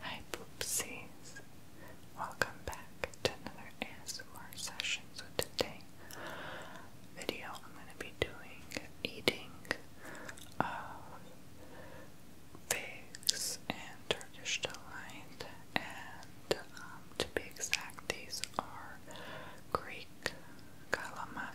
Hi poopsies. Welcome back to another ASMR session. So today video I'm gonna be doing eating uh, figs and Turkish delight and um, to be exact these are Greek calamari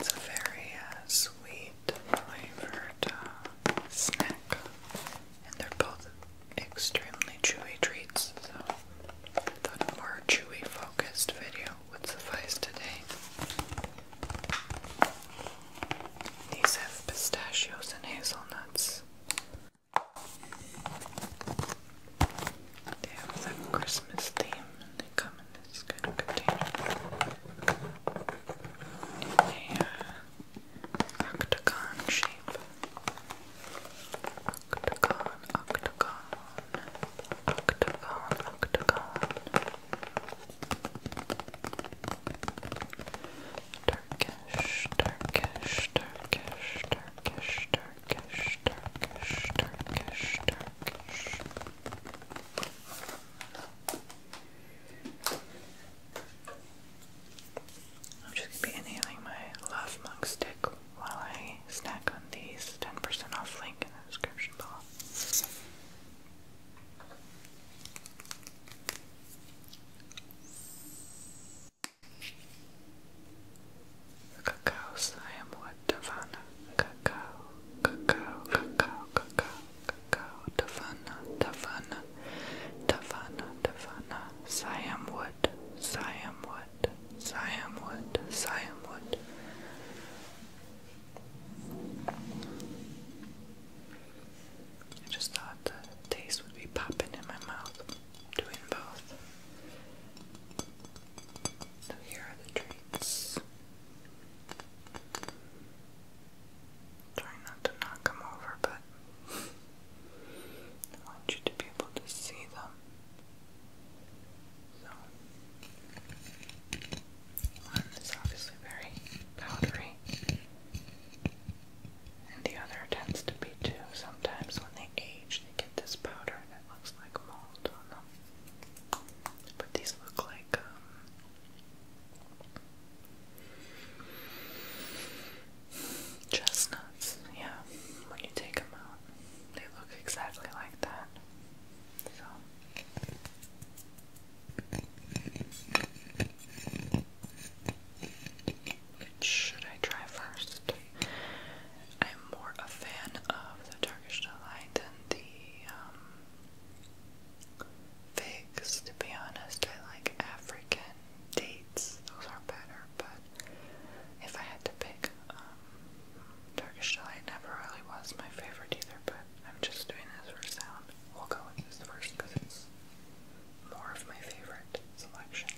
It's a very uh, sweet flavored uh, snack, and they're both extremely chewy treats, so the more chewy focused video would suffice today. These have pistachios and hazelnuts. They have that Christmas theme and they come in this kind of container octagon shape. Octagon, octagon, octagon, octagon. Turkish, Turkish, Turkish, Turkish, Turkish, Turkish, Turkish, Turkish. I'm just gonna be inhaling my Love Mug stick while I snack on these 10% off link in the description below. cacao I am what Davana. Cacao, cacao, cacao, cacao, Cacao, Tavana, Tavana, Tavana, Tavana, Siam Wood, Siam Wood, Siam Wood, Siam Wood. I just thought the taste would be popping in my mouth, doing both. So here are the treats. Try not to knock them over, but I want you to be able to see them. So, one is obviously very powdery, and the other tends to be too. Sometimes when they age, they get this powder that looks like mold on them. But these look like um, Chestnuts, yeah. When you take them out, they look exactly like that. should I try first? I'm more a fan of the Turkish delight than the um, figs, to be honest. I like African dates, those are better, but if I had to pick, um, Turkish delight never really was my favorite either, but I'm just doing this for sound. We'll go with this first because it's more of my favorite selection.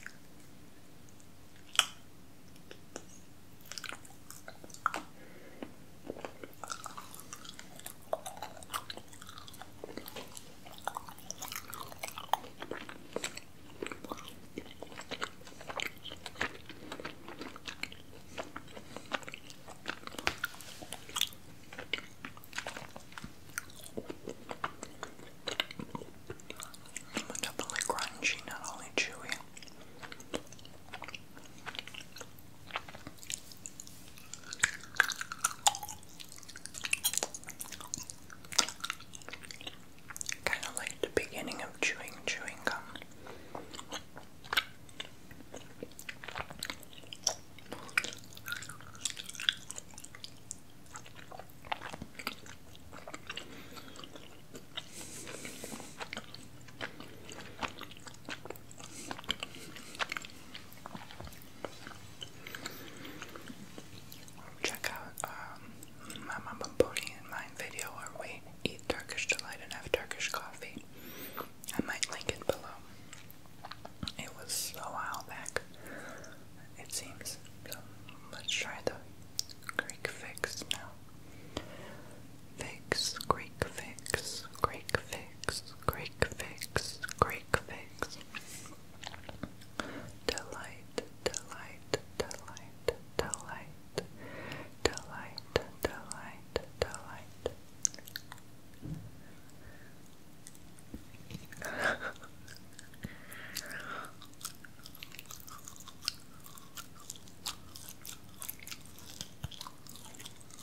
Definitely crunchy, not only chewy. Kind of like the beginning of chewing chewing gum. Check out um, my mama Pony and mine video where we eat Turkish delight and have Turkish coffee. I might link it below. It was a while back, it seems. So let's try the Greek fix now. Fix, Greek fix, Greek fix. Greek fix, Greek fix, Delight, delight, delight, delight, delight, delight, delight.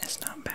It's not bad.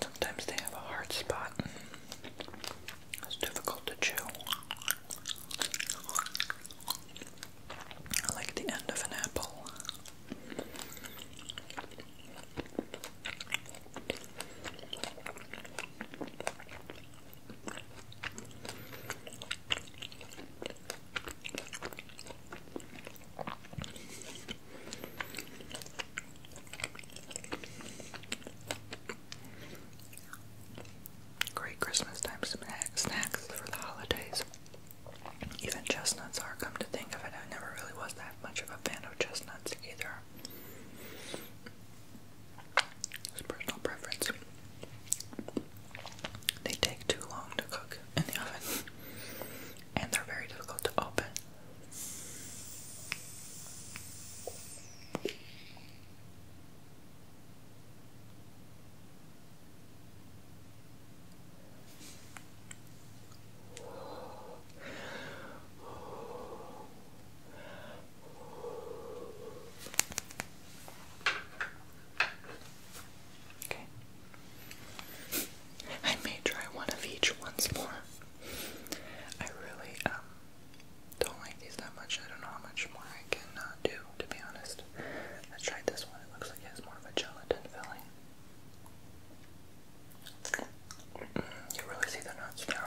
Sometimes they have a hard spot. It's difficult to chew. I like the end of an apple. Great Christmas time snacks for the holidays. Even chestnuts are, come to think of it. I never really was that much of a fan of chestnuts either. It's personal preference. They take too long to cook in the oven, and they're very difficult to open. Okay. I may try one of each once more. I really um, don't like these that much. I don't know how much more I can do, to be honest. I tried this one. It looks like it has more of a gelatin filling. Mm, you really see the nuts now.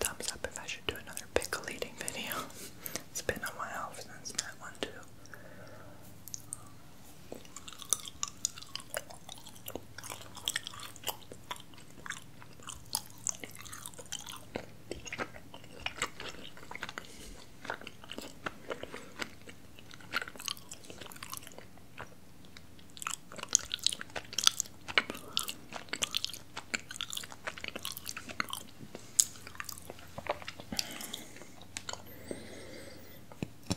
thumbs up if I should do another pickle eating video. it's been on a while since that one too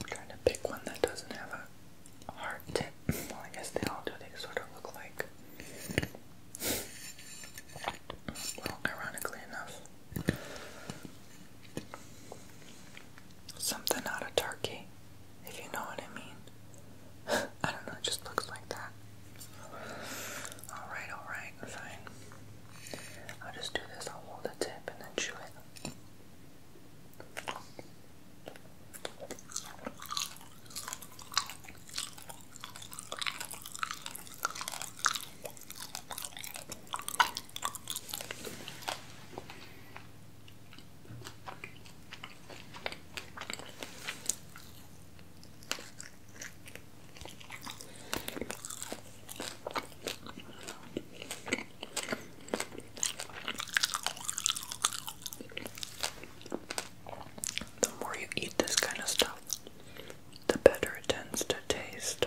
trying to pick one that doesn't have a hard tip. Well, I guess they all do. They sort of look like. Well, ironically enough, something out of Turkey, if you know what I mean. I don't know, it just looks like that. Alright, alright, fine. I'll just do this, I'll hold the tip and then chew it. The more you eat this kind of stuff, the better it tends to taste.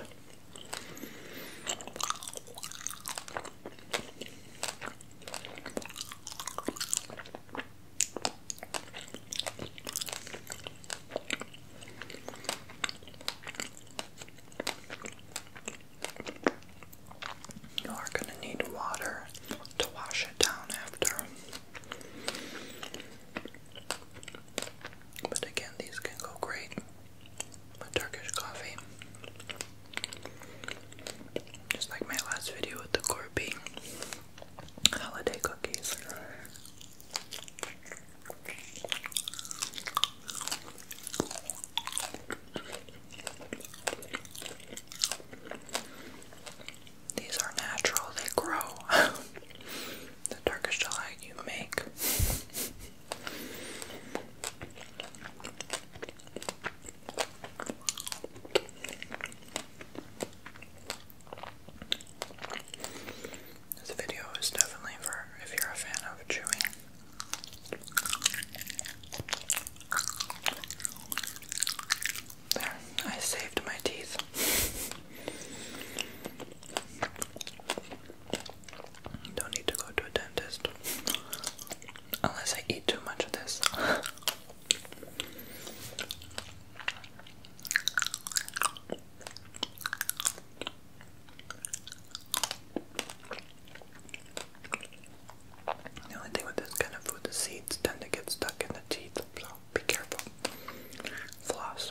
You are going to need water to wash it down after. But again, these can go great with Turkish coffee. Just like my last video with the corby holiday cookies. These are natural, they grow. the Turkish delight you make. This video is definitely for if you're a fan of chewing. I saved my teeth. Don't need to go to a dentist. Unless I eat too much of this. The only thing with this kind of food, the seeds tend to get stuck in the teeth, so be careful. Floss.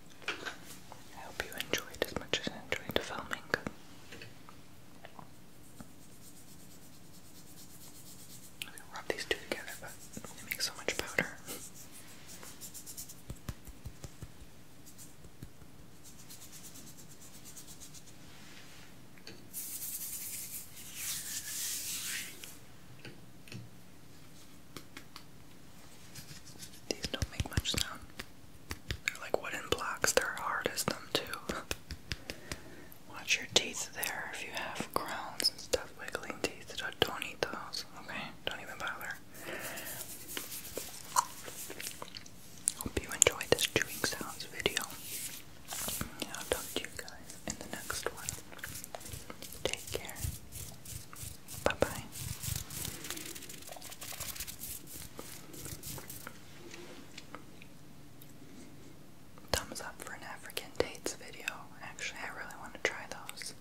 I hope you enjoyed as much as I enjoyed filming. I'm gonna rub these two together, but they make so much powder. These don't make much sound. They're like wooden blocks, they're hard as them too. Watch your teeth there if you have crowns and stuff, wiggling teeth. Don't eat those, okay? Don't even bother. Hope you enjoyed this chewing sounds video. I'll talk to you guys in the next one. Take care. Bye bye. Thumbs up for an African dates video. Actually, I really want to try those.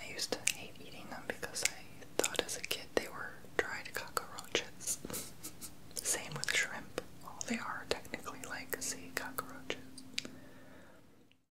I used to hate eating them because I thought as a kid they were dried cockroaches. Same with shrimp. All they are technically like sea cockroaches.